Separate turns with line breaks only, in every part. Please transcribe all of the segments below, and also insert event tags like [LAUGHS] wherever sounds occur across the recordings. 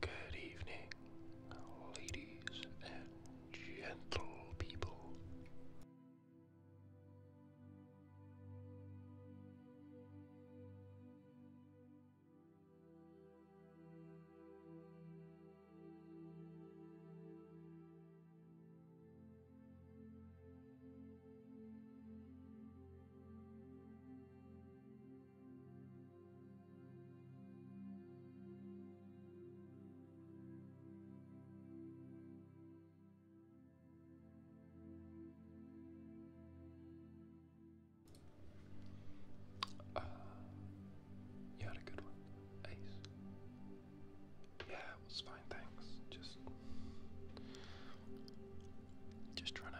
Good evening, ladies and gentle people. Uh, you had a good one, Ace. Yeah, it was fine, thanks. Just, just trying to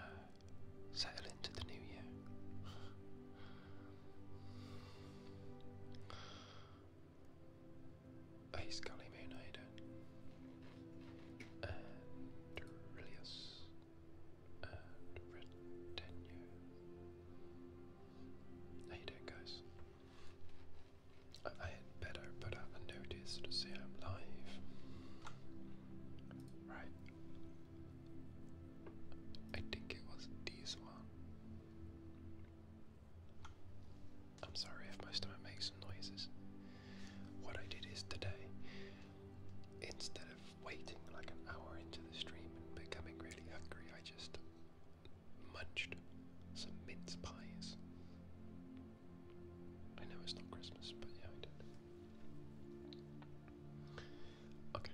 settle into the new year. Hey Scully Moon, how And Rillius and Retenue. How you guys? I had better put out a notice to say I'm live. Right, I think it was this one. I'm sorry if my stomach makes some noises. What I did is today, instead of waiting like an hour into the stream and becoming really hungry, I just munched some mince pies. I know it's not Christmas, but yeah, I did. Okay.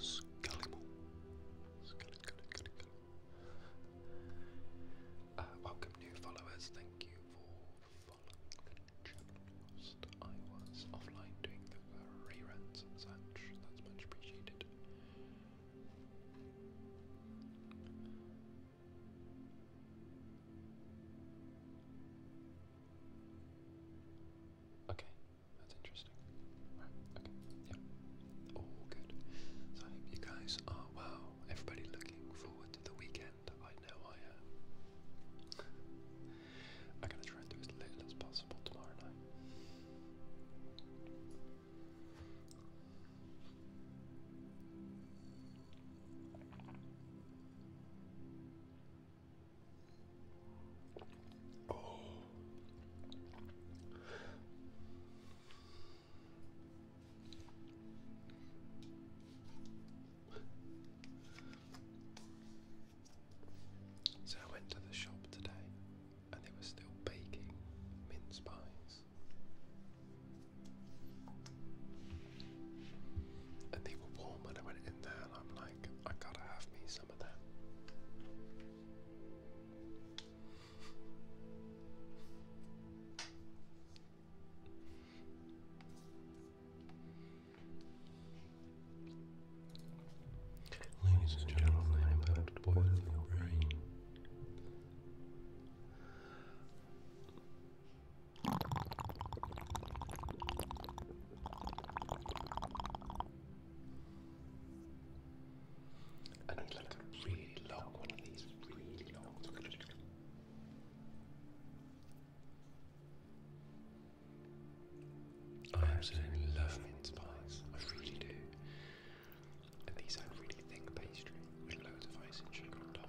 Scullymore. Uh, welcome new followers, thank you for following the channel. I was offline doing the reruns and such, that's much appreciated. Okay, that's interesting. Right, okay, yep. All good. So I hope you guys are well. Everybody looking forward to the weekend. I know I am. I'm gonna try and do as little as possible tomorrow night. Oh. So I went to the shop today and they were still baking mince pies. And they were warm when I went in there, and I'm like, I gotta have me some of that. Ladies and gentlemen, about to boil your brain. I need like a really long one of these, really long. I absolutely love mince pies, I really do. And these are really thick pastry with loads of icing sugar on top.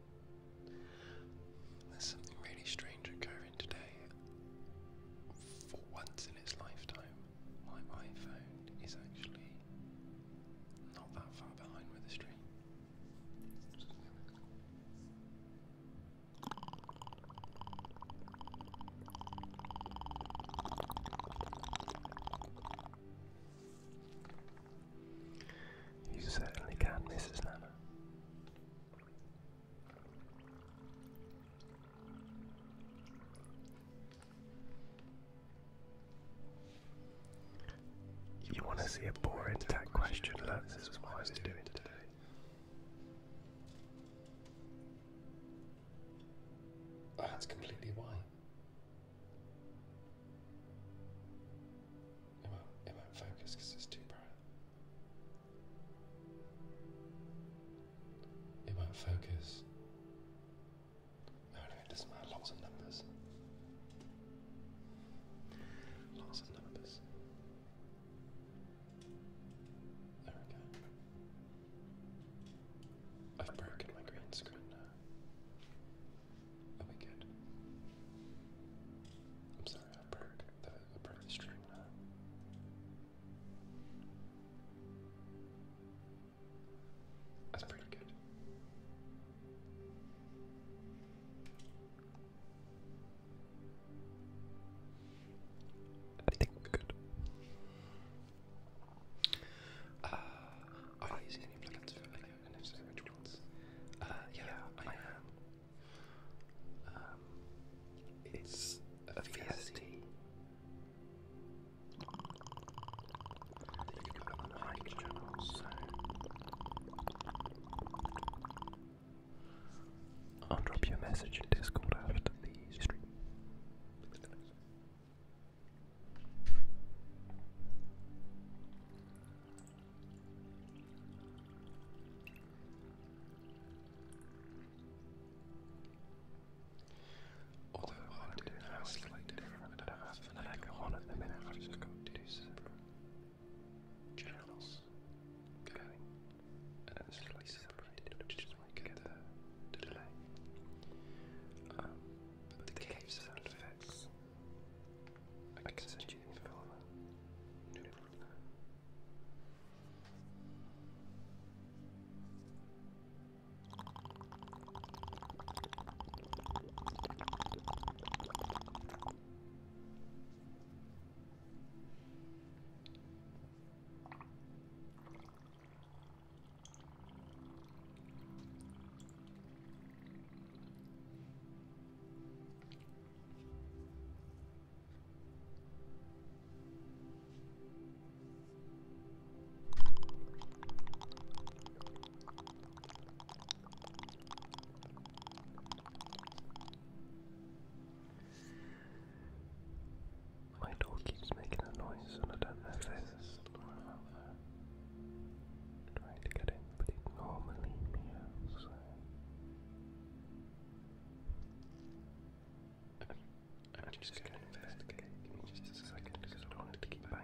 There's something really strange occurring today. For once in its lifetime, my phone is actually not that far behind with the stream. You certainly can, Mrs. Nana. You want to see a boring tech question? Look, this is what I doing today. That's completely why. It won't, it won't focus because it's too bright. It won't focus. No, no, it doesn't matter. Lots of numbers. Lots of numbers. There we go. I've broken my green screen now. Oh wait, good. I'm sorry, I broke the, stream That's pretty good. I think we're good. Uh, using any plugins for video and if so, which ones? Uh, yeah, I am. Um, it's a VST. I'll drop you message in Discord after the stream. Although what I'm doing now different, channels and then slightly separated, which is why I get the delay. Um, the cave sound effects I can, I can send, send you the info. No problem. My door keeps making a noise, and I don't know if there's someone out there trying to get in, but it normally meows. So. I'm, just, just an to investigate. Give me just a second because I don't want to keep banging.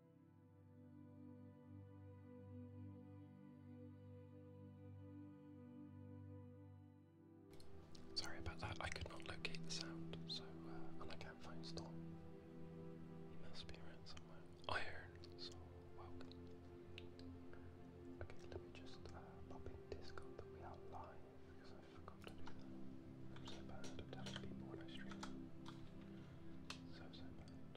Sorry about that, I could not locate the sound, so, uh, and I can't find Storm. He must be around somewhere. Iron, so Okay, let me just uh, pop in Discord we are live, because I forgot to do that. so bad at telling people when I stream. So, so bad.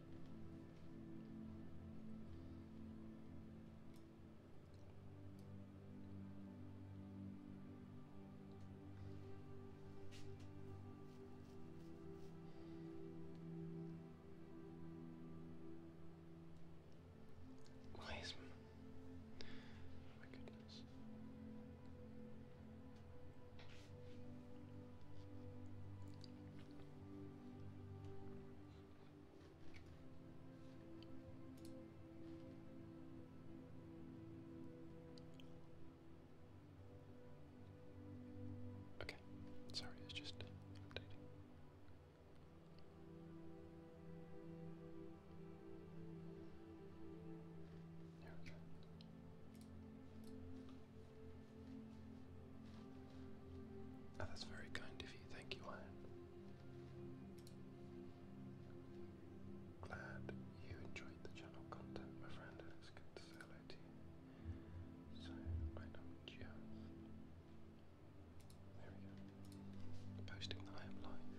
Why is my, oh goodness. Okay, sorry, it's just updating. There we go. Oh, that's very kind of you. Thank you, Ian. Glad you enjoyed the channel content, my friend. it's good to say you. So, I know just. There we go. Posting that I am live.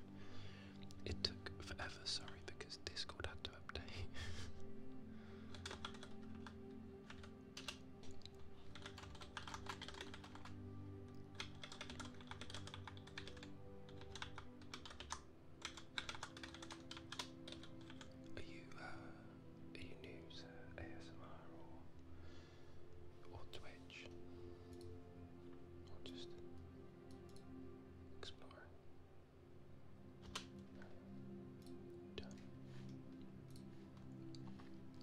It took forever, sorry, because Discord had to update. [LAUGHS] Are you uh, are you new to ASMR or or Twitch or just exploring? Done.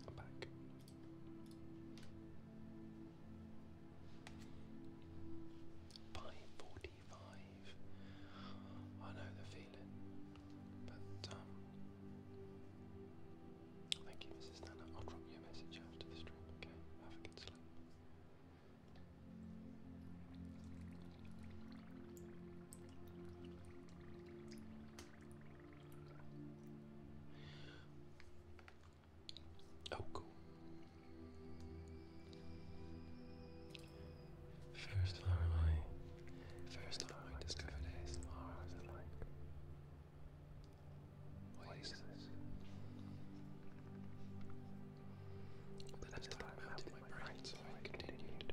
I'm back. Five forty-five. I know the feeling, but um, thank you, Mrs. Nana. I'll drop you a message after the stream. Okay, have a good sleep. Oh, cool. First time I, first time I discovered ASMR, I was what is this? But I started out my brain, so I continued.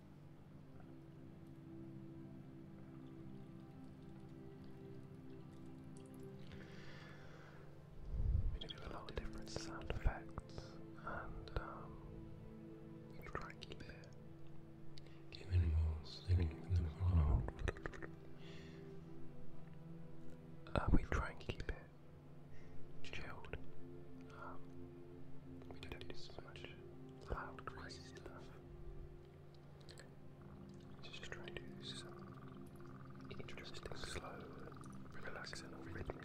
We do a lot of different sound effects and um, try keep it. Given more singing than one. Uh, we try and keep it chilled. Um, we don't do so much loud, crazy stuff. Just try to do some interesting, slow, relaxing, or rhythmic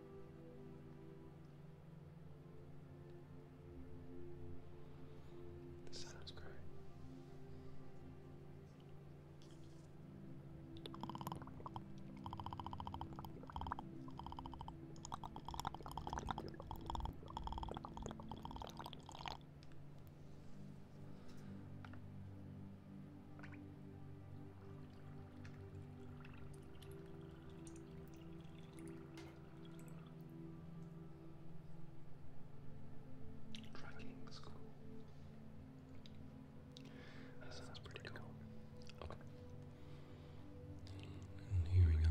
The sun was great. Tracking school. That sounds pretty cool. Okay. And here we go.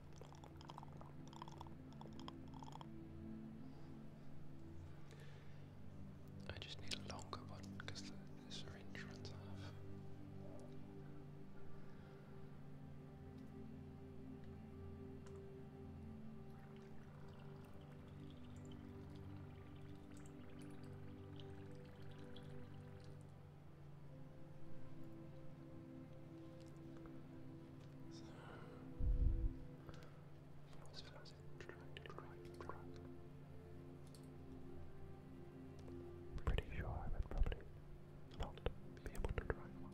I just need a longer one because the, the syringe runs off. Pretty sure I would probably not be able to drive one.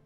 Finish.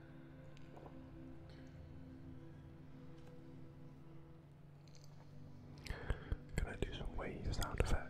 Can I do some wave sound effects?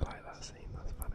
I like that scene, that's funny.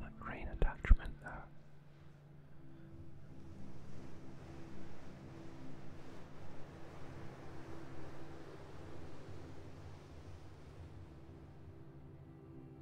That rain attachment there.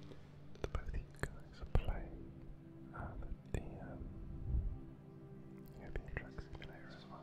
Did both you guys play uh, the, the um, European Truck Simulator as well?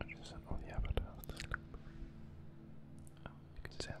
I just sent all the avatars to Oh, you can see how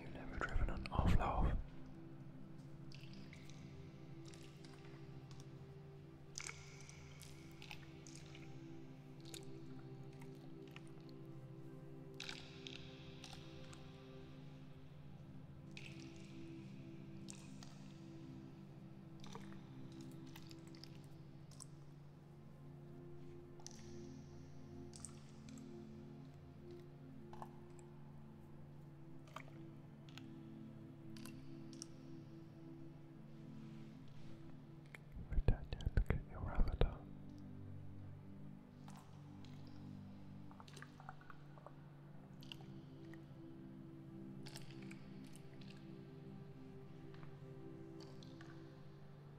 You've never driven an offload. Britannia, look at your avatar.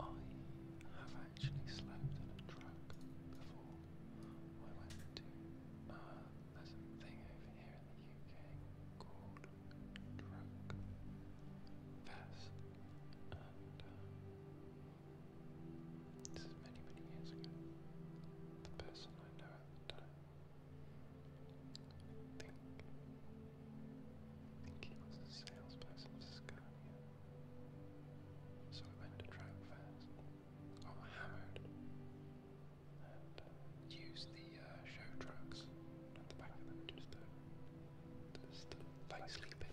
I have actually slept in a truck before. I went to, uh, a thing over here in the UK called Truck Fest. Uh, this is many, many years ago. The person I know I think, think he was a salesperson So we went to Trout Fest, got hammered, and uh, used the uh, show trucks at the back of them just to, just to lay sleeping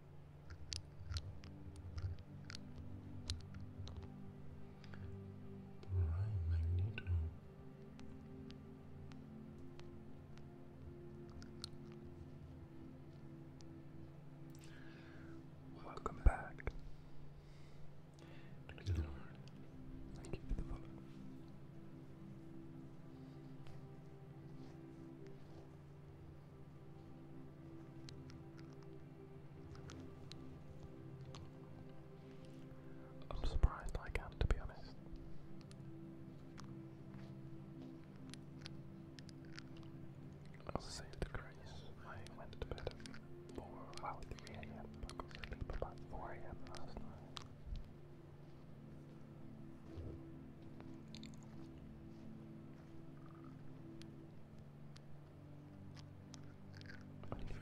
Alright, Magneto. Welcome back. Thank you, Thank you for the follow. I'm surprised I can, to be honest. I was saved the grace. I went to bed 4, well, 3 a.m. 4 a.m. last night. Unfair.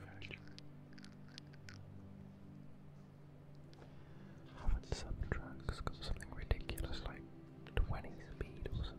How some trucks got something ridiculous like 20 speed or something?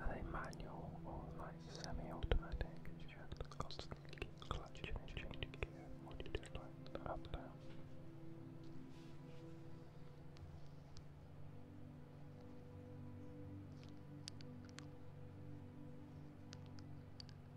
Are they manual or like semi-automatic? Do you have to constantly keep clutching and changing gear? Or do up down?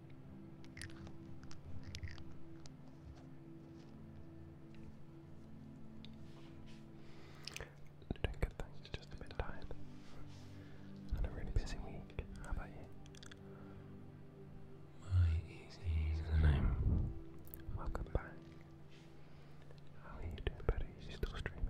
Doing good, thanks. Just a bit tired. And a really busy week. How about you? My easy name. Welcome back. How are you doing, buddy? still streaming?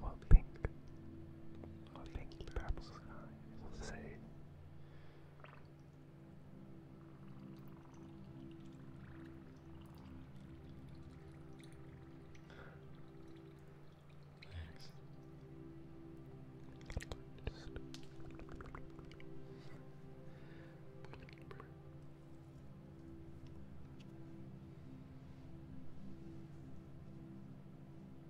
While pink, while pink purple sky will say, Thanks.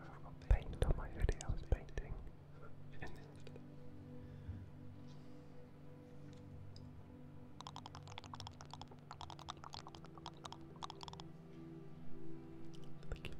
I've got paint on my hoodie, painting. Thank you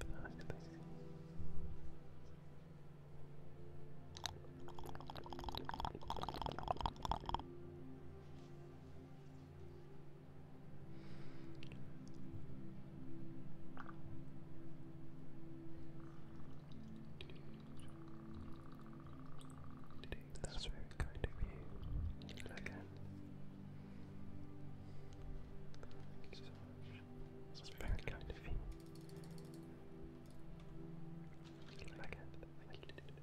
that's very kind of you. again. Thank you so much. very kind of you. Get back at it. Like you did it.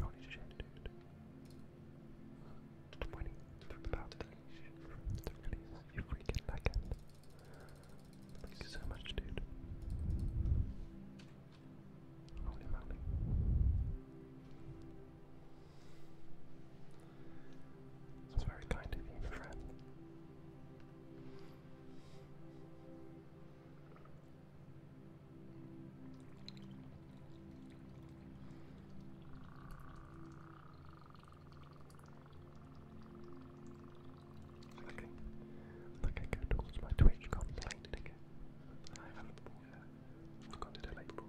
Holy shit, dude. Twenty from about to you freaking backend. Thank you so much, dude. Holy moly. That's very kind of you, friend. Okay, look, go towards my Twitch complaint again. I haven't bought it. Consider like bro.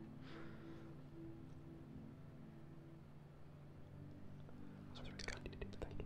Sorry, it's candidate, thank you.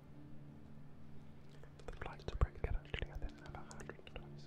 The flights are pretty good actually, I think I have about 100 flights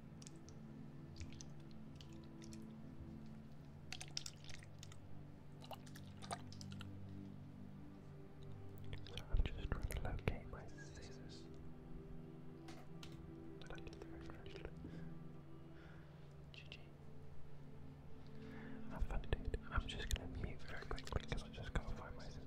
So I'm just trying to locate my scissors. But I did very correctly. I'm just gonna mute very quickly because I just gotta find my scissors.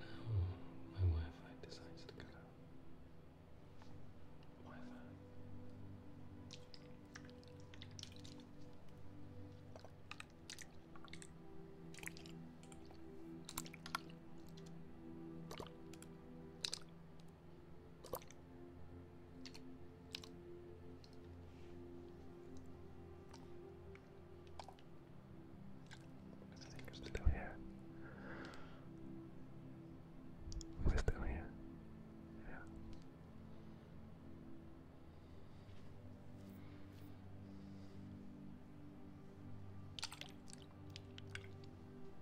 Now my Wi-Fi decides to cut I think we're still here. We're still here. Yeah.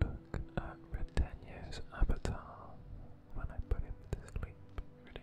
Look at Britannia's avatar when I put him to sleep, really.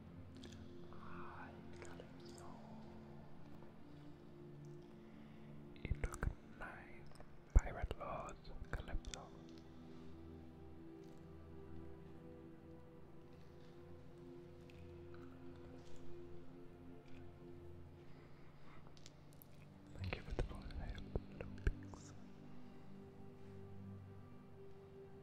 I gotta go. It looked nice. Pirate Lords, Calypso. Thank you for the follow, Lopix.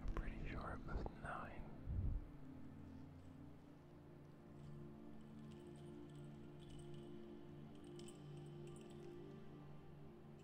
I'm pretty sure it was nine.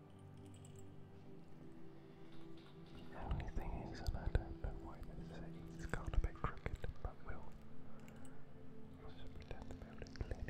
The only thing is, I don't know why this is, it's got a bit crooked, but we'll also pretend to be able to it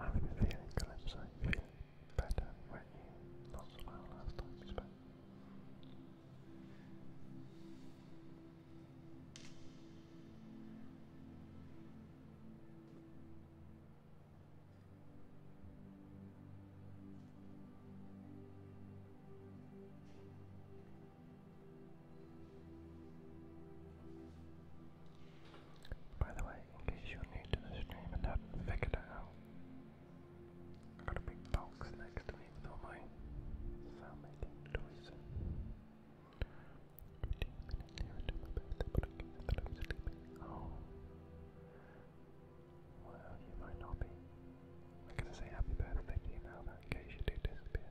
I've been feeling Calypso, feeling better, when you you? Not so last time we by the way, in case you're new to the stream and have figured it out, i got a big box next to me with all my sound toys. Every 10 minutes here until my birthday, but I guess that sleeping. Oh. Well, you might not be. I'm gonna say happy birthday to you now, in case you do disappear.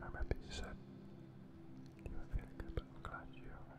I remember you said you were feeling good, I'm glad you're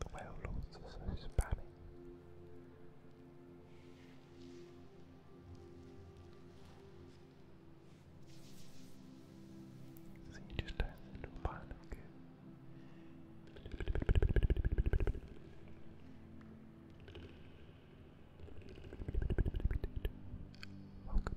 The Whale-Lords are so spammy. So you just turn it into a pile of goo. Welcome.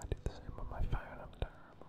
I do the same on my phone, I'm terrible.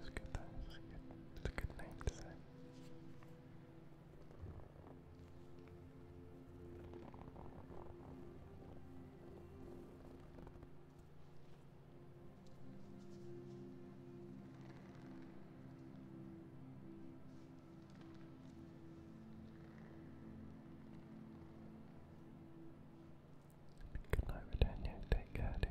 It's a good thing. It's a good, it's to say. Good night, Britannia. Take care, dude.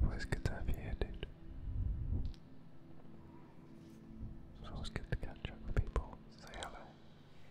Where's you headed? So it's good to catch up with people, say hello.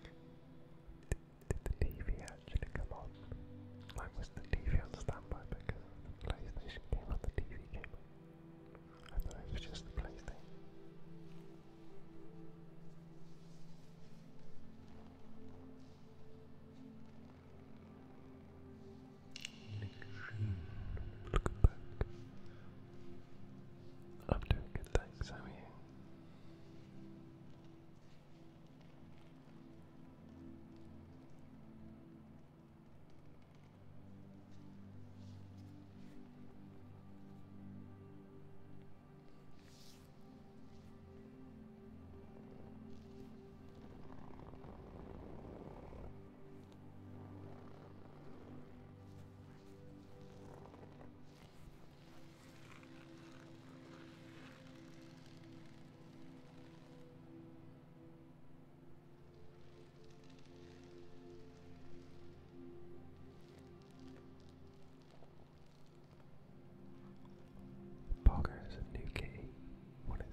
Did the TV actually come on? Like, was the TV on because PlayStation came on, the TV came on? I thought it was just the PlayStation. Look back. I'm doing good, thanks. How are is a new key. What is it?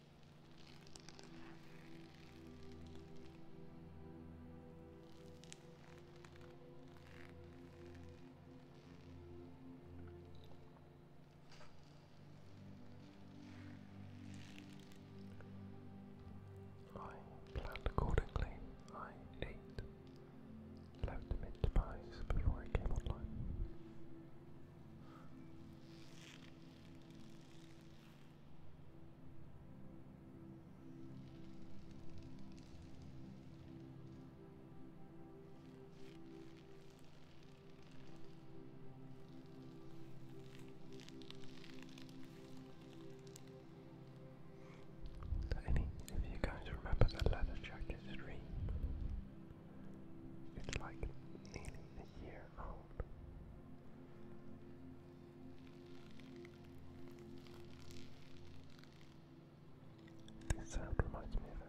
I planned accordingly. I ate, left mid pies before I came online. So if you guys remember the leather jacket stream, it's like nearly a alone. This sound reminds me of it.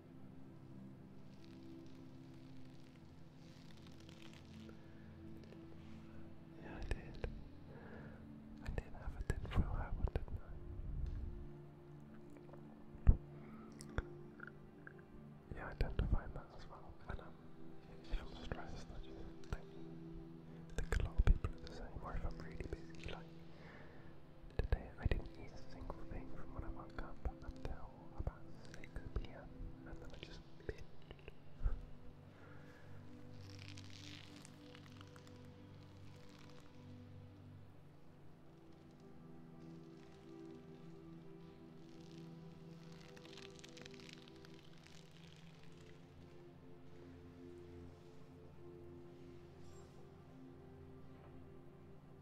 Yeah, I did. I did have a tin foil hat one, did I? Yeah, I tend to find that as well. And I'm stressed, I just think a lot of people are the same. Or if I'm really busy, like, Today I didn't eat a single thing from when I woke up until about 6 pm and then I just binged.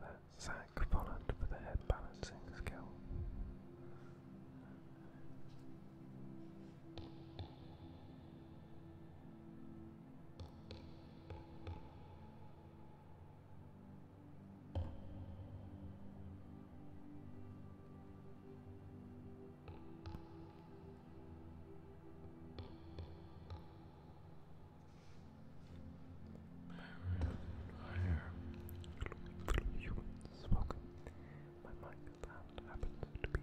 That's Zach Polland for the head balancing skill. I hear humans smoking. My microphone happens to be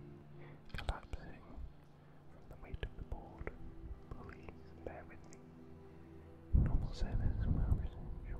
collapsing from the weight of the board. Please bear with me. Normal service will resume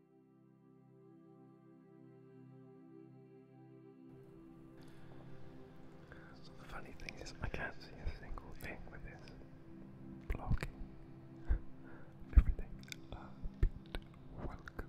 So the funny thing is, I can't see a single thing with this blocking [LAUGHS] everything. Uh, beat. Welcome.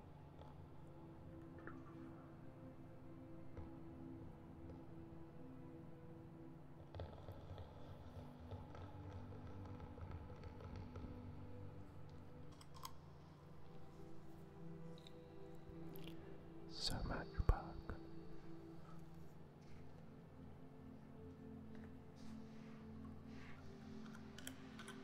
So much bark.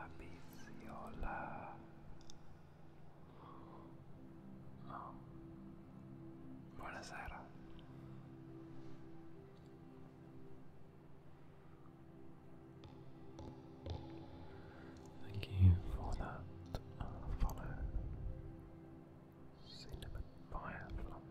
Abiziola. Oh. Buonasera. Thank you for that uh, follow. Cinnamon Fireflies,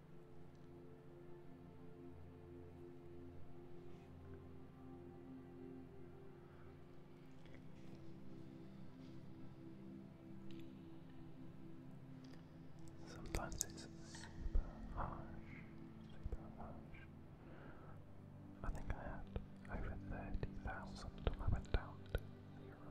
Sometimes it's super harsh, super harsh. I think I had over 30,000 when I went down to zero.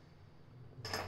Hurry.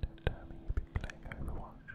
Don't tell me you've been playing Overwatch.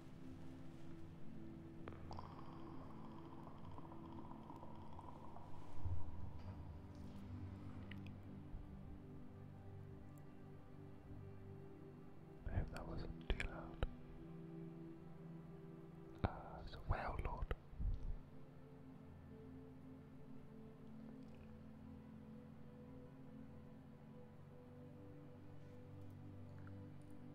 I hope that wasn't too loud. Uh, so well, Lord.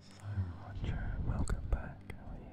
So welcome back. How are you?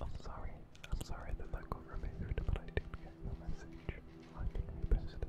I'm sorry, I'm sorry that that got removed, but I did get the message. I did repost it.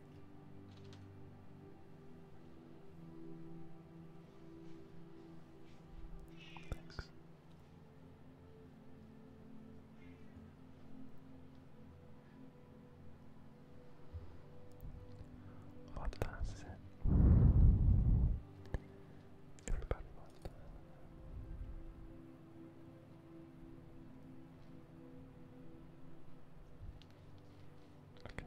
Thanks. What last is it? Everybody wants that. Okay.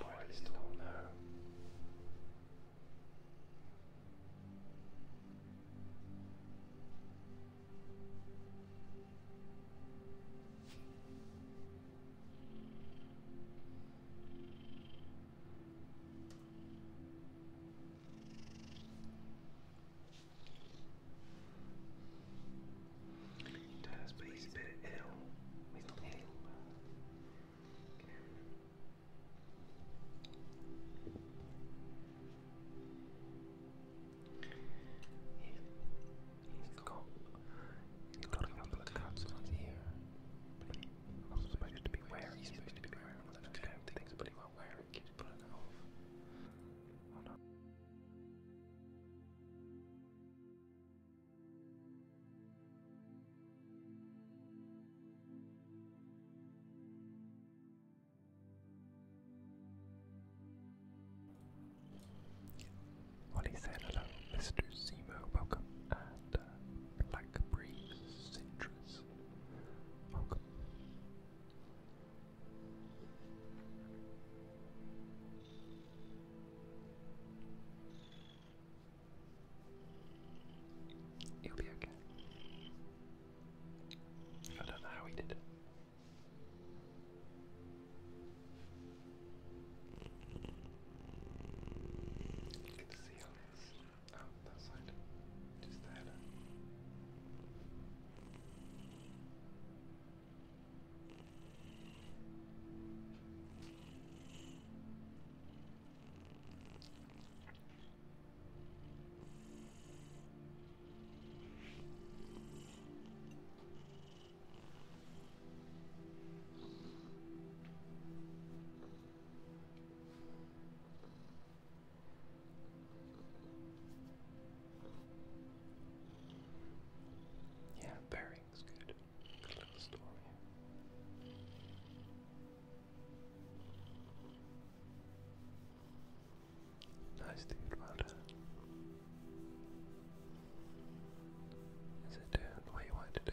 Poor little nerve. He does, but he's a bit ill. He's not ill, but can have him. He's, he's got, he's got a couple of cuts on his ear, but he, I'm not supposed to be wearing, he's supposed to be wearing one of those kind of things, but he won't wear it, keeps pulling it off. Oh no. What said, hello, Mr. Zemo, welcome, and uh, Black welcome. You'll be okay. I don't know how he did it. You can see on oh, that side. Just the yeah, very everything's good. Little story. Nice dude, well what you want to do?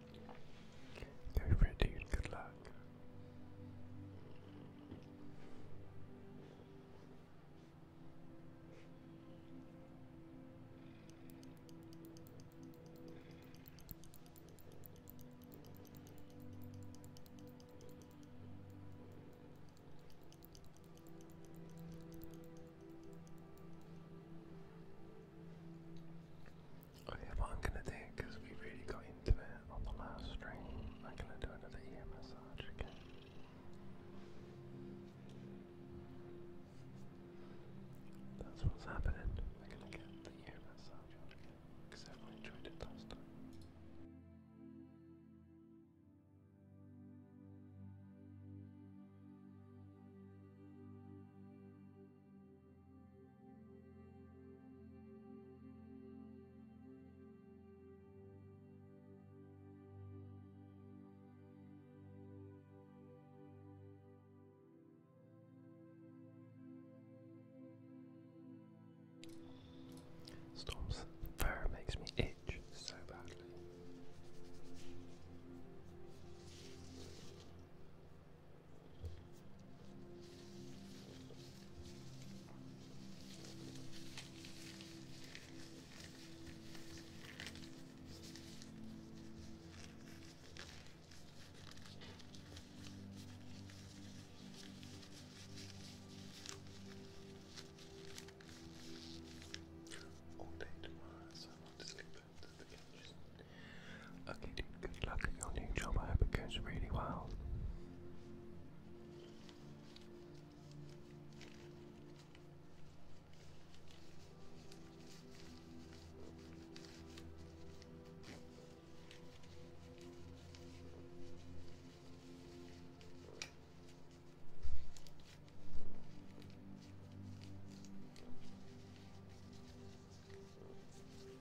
Go for it, Good luck. Okay, I'm gonna do, because we really got into it on the last stream, I'm gonna do another ear massage again. That's what's happening. We're gonna get the ear massage again, because everyone enjoyed it last time. Storm's fur makes me itch so badly. All day tomorrow, so I want to sleep at the kitchen. Okay, good luck at your new job. I hope it goes really well.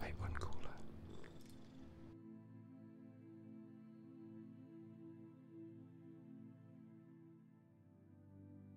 Wait, one cooler.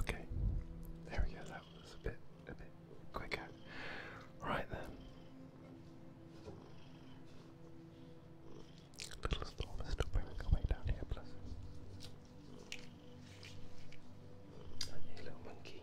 Okay, there we go. That was a bit, a bit quicker. Right then, little storm is still bringing away down here, bless Hey, little monkey.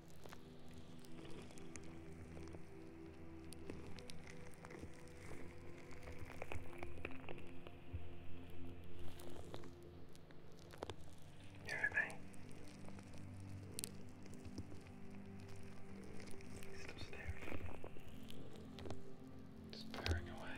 You with me? He's still staring. Just bearing away.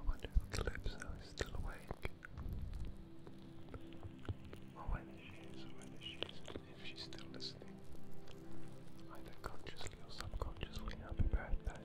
I wonder if Calypso is still awake. Or whether she is, or whether she is if she's still listening. Either consciously or subconsciously, happy birthday.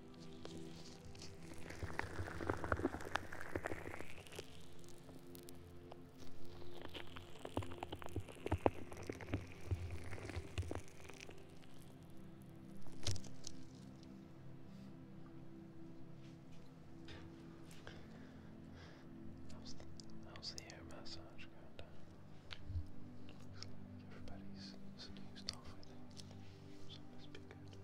That was the air massage going down? Looks everybody's snoozed off, I think. So it must be good. Listo.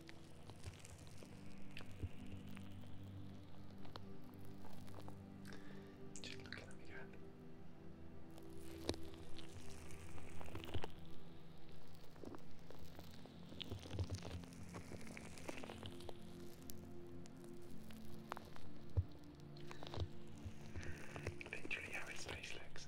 Just looking at me going. Literally how his face looks.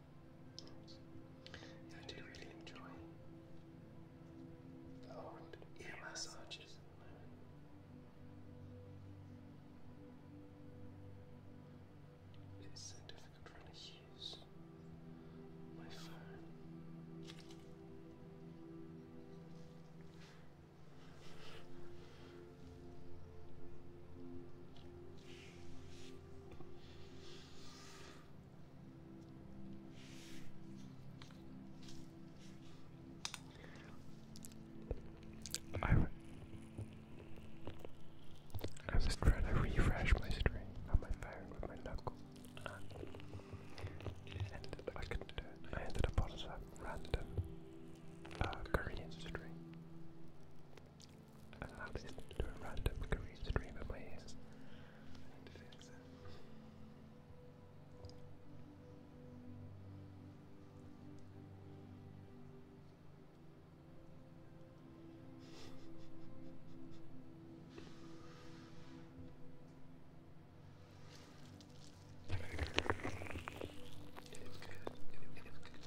Yeah, I do really enjoy old ear massages It's so difficult for me to use my phone. I, re I was trying to refresh my stream on my phone with my knuckles, and ended, I couldn't do it. I ended up on some random uh, Korean stream. I'll just do a random career stream of my ears and fix it. It is good. It is good. It is good.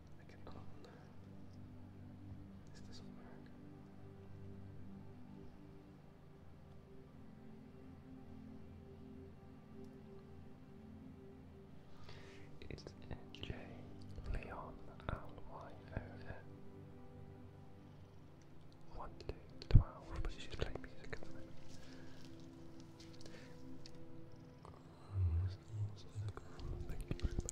I can click on that. This doesn't work. It's J Leon L Y O N. One, two, twelve. But she's playing music at the Thank you very much for the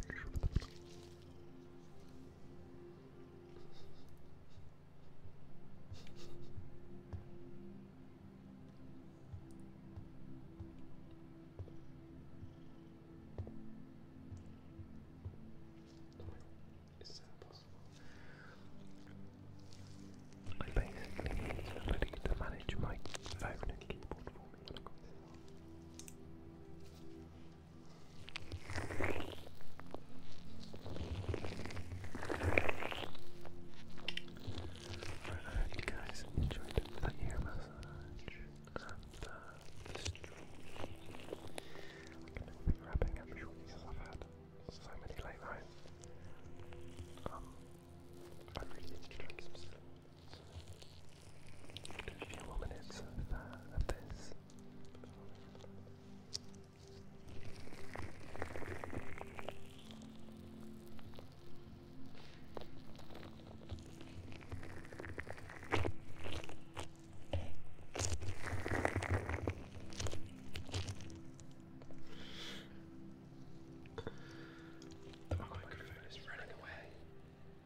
is that possible? I basically need somebody to manage my phone and keyboard for me I hope you guys enjoyed the ear massage and the stream. I'm going to be wrapping up shortly because I've had so many late nights. Um, I really need to sleep a few more minutes of, this. The microphone is running away. I really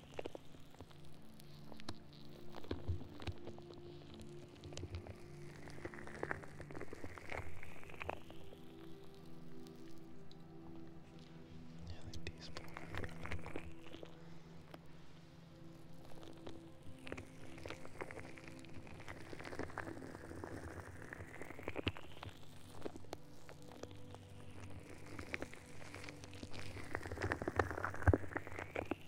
like these four.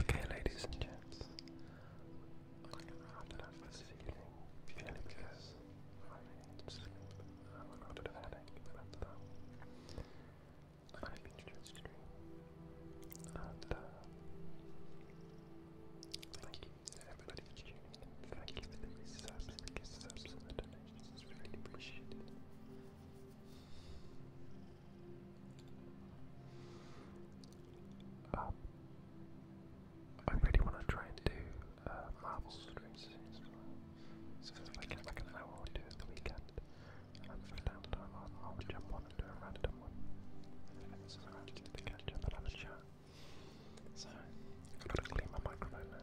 Okay, ladies and gents, I'm going to round it up this evening purely because I need sleep. a headache, i have been just and uh, thank you everybody for tuning in. Thank you for the subs, the subs, and donations. It's really appreciated. Um, I really want to try and do uh, marble streams So if I get like an hour or two at the weekend, and for downtime, I'll, I'll jump on and do a random one. So So, I've got to clean my microphone now.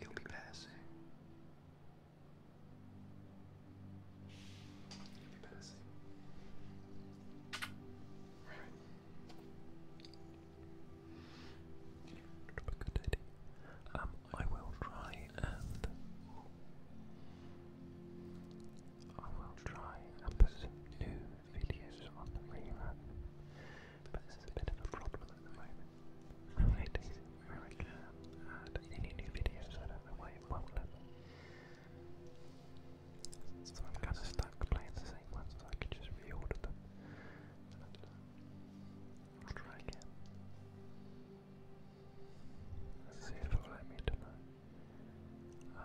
It'll be passing. It'll be passing. Right. Good idea. Um, I will try and I will try and put some new videos on the rerun but a bit of a problem at the moment. I'm waiting where I new videos out of the way it won't let me. So I'm kind of stuck playing the same ones, so I could just reorder them. Uh, try again. see if it'll let me tonight. Uh,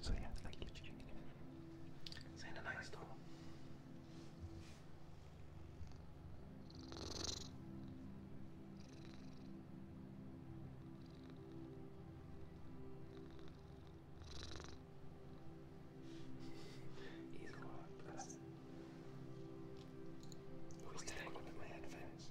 so yeah, thank you, Chicken. Saying a nice though. Easy one, bless. Who's tangled in my headphones?